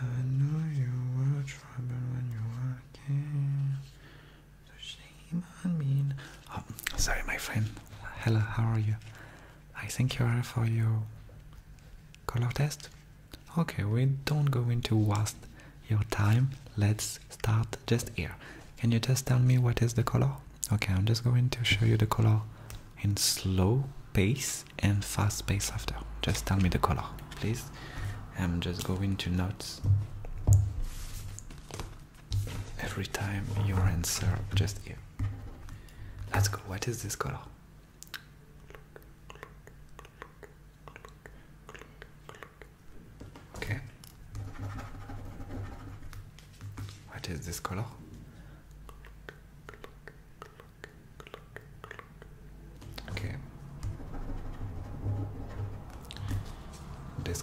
I know you were trouble when you were a kid. Oh, sorry, my friend. Hello, how are you? I think you are for your color test. Okay, we don't go into waste your time. Let's start just here. Can you just tell me what is the color? Okay, I'm just going to show you the color in slow pace and fast pace after. Just tell me the color, please. I'm just going to notes. Every time your answer, just here. Let's go. What is this color? Okay. What is this color? Okay. This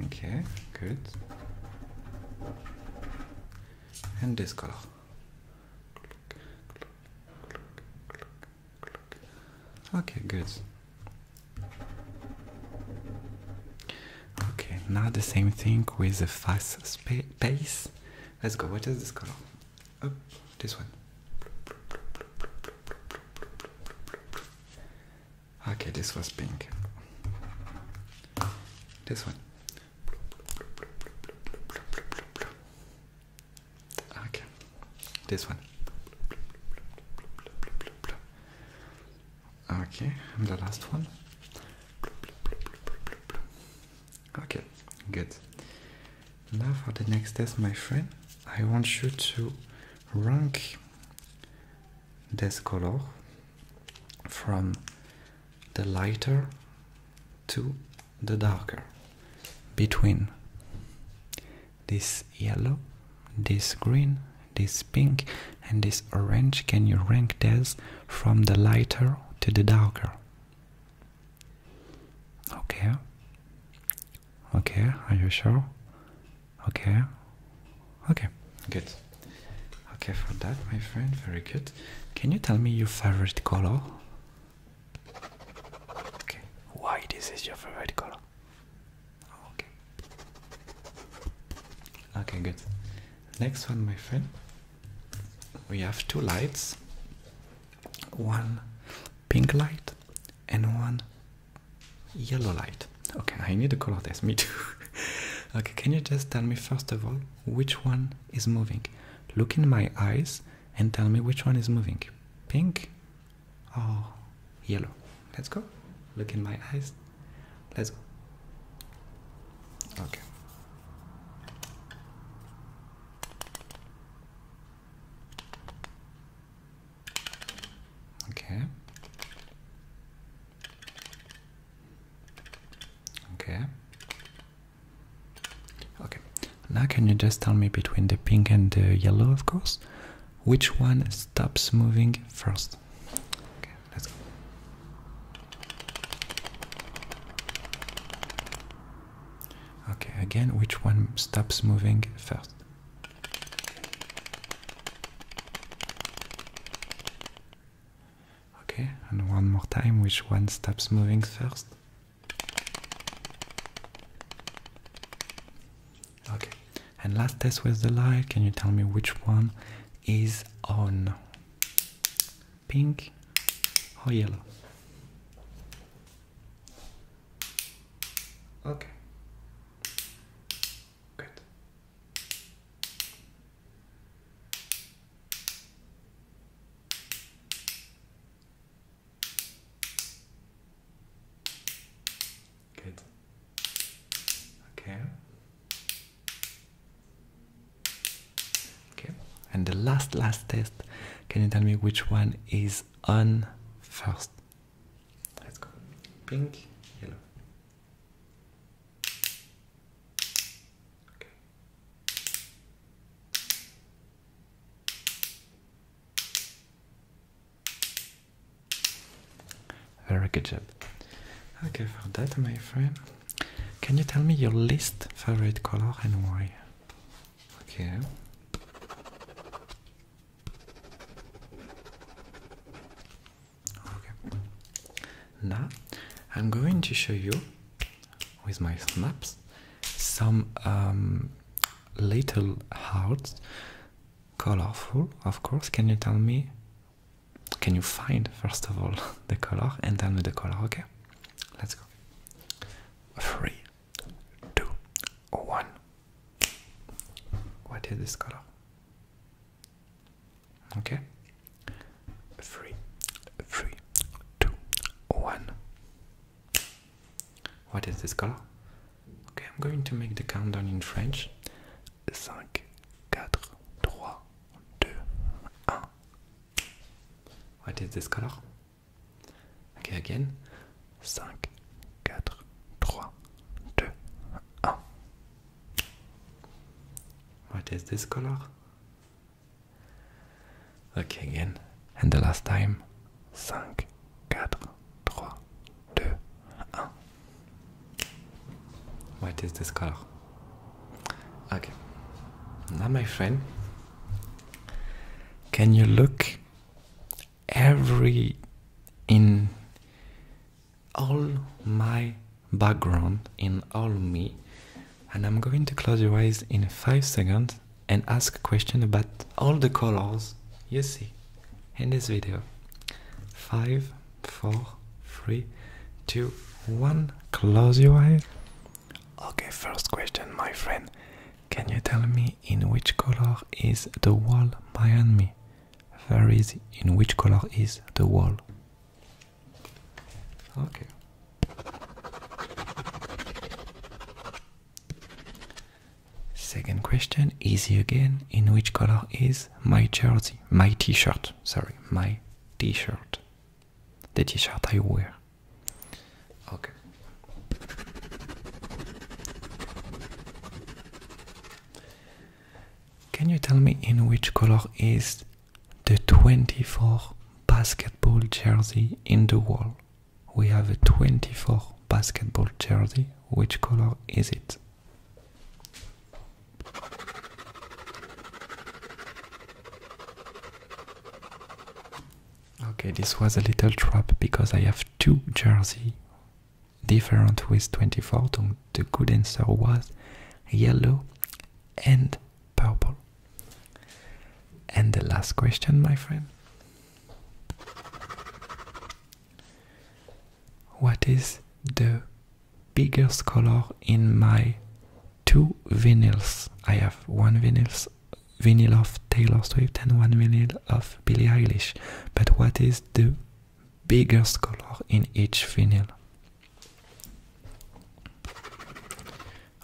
Okay, good. And this color. Okay, good. Okay, now the same thing with a fast pace. Let's go. What is this color? Oh, this one. Okay, this was pink. This one. Okay. This one. Okay, and the last one. Okay, good. Now for the next test, my friend, I want you to rank this color from the lighter to the darker between this yellow, this green, this pink and this orange. Can you rank these from the lighter to the darker? Okay. Okay, are you sure? Okay. Okay, good. Okay, for that, my friend, very good. Can you tell me your favorite color? Okay, why this is your favorite color? Oh, okay. Okay, good. Next one, my friend. We have two lights. One pink light and one yellow light. Okay, I need to color this, me too. okay, can you just tell me first of all which one is moving? Look in my eyes and tell me which one is moving. Pink or oh, yellow. Let's go. Look in my eyes. Let's go. Okay. Okay. Okay. Okay, now can you just tell me between the pink and the yellow, of course, which one stops moving first? Okay, Okay, again, which one stops moving first? Okay, and one more time, which one stops moving first? Okay, and last test with the light. Can you tell me which one is on? Pink or yellow? Okay. Good. Good. Okay. Okay. And the last last test. Can you tell me which one is on first? Let's go. Pink, yellow. Okay. Very good job. Okay, for that, my friend, can you tell me your least favorite color and why? Okay. Okay. Now, I'm going to show you with my snaps, some um, little hearts, colorful, of course. Can you tell me? Can you find first of all the color and tell me the color? Okay, let's go. Three, two, one. What is this color? Okay? Three, three, two, one. What is this color? Okay, I'm going to make the countdown in French. 5, 4, 3, 2, 1. What is this color? Okay, again. 5, 4, 3, 2, What is this color? Okay, again. And the last time. 5, 4, 3, 2, 1. What is this car? Okay. Now, my friend, can you look every in all my background in all me and i'm going to close your eyes in 5 seconds and ask a question about all the colors you see in this video Five, four, three, two, one. close your eyes okay first question my friend can you tell me in which color is the wall behind me There is. in which color is the wall Okay. Second question, easy again. In which color is my jersey? My t-shirt, sorry, my t-shirt. The t-shirt I wear. Okay. Can you tell me in which color is the 24 basketball jersey in the wall? We have a 24 basketball jersey. Which color is it? Okay, this was a little trap because I have two jerseys different with 24 the good answer was yellow and purple and the last question my friend what is the biggest color in my two vinyls i have one vinyls vinyl of taylor swift and one vinyl of billie eilish but what is the biggest color in each vinyl.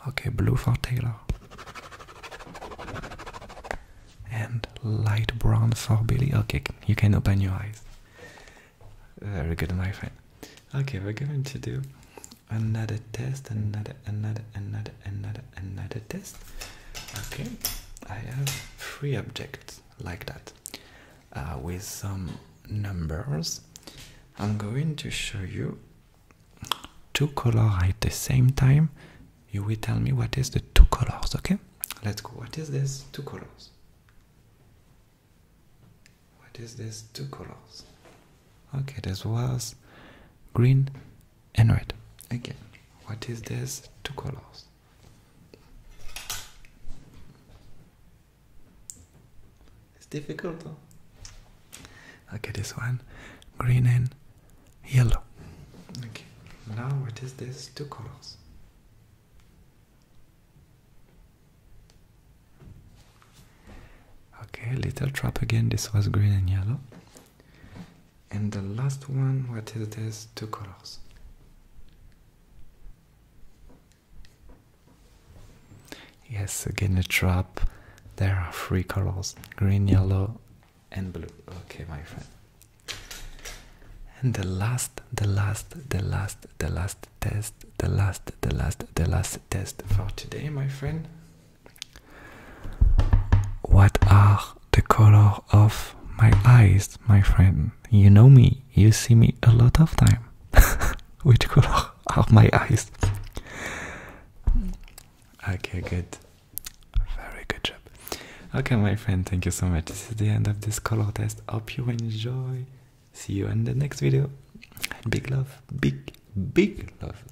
Okay, blue for Taylor. And light brown for Billy. Okay, you can open your eyes. Very good, my friend. Okay, we're going to do another test, another, another, another, another, another test. Okay, I have three objects like that uh, with some numbers. I'm going to show you two colors at the same time. You will tell me what is the two colors, okay? Let's go. What is this? Two colors. What is this? Two colors. Okay, this was green and red. Again, what is this? Two colors. It's difficult. Huh? Okay, this one, green and yellow. Okay, now what is this? Two colors. Okay, little trap again. This was green and yellow and the last one what is this two colors yes again a trap there are three colors green yellow and blue okay my friend and the last the last the last the last test the last the last the last test for today my friend what are the color of my eyes, my friend? You know me, you see me a lot of time. Which color are my eyes? Okay, good. Very good job. Okay, my friend, thank you so much. This is the end of this color test. Hope you enjoy. See you in the next video. And Big love, big, big love.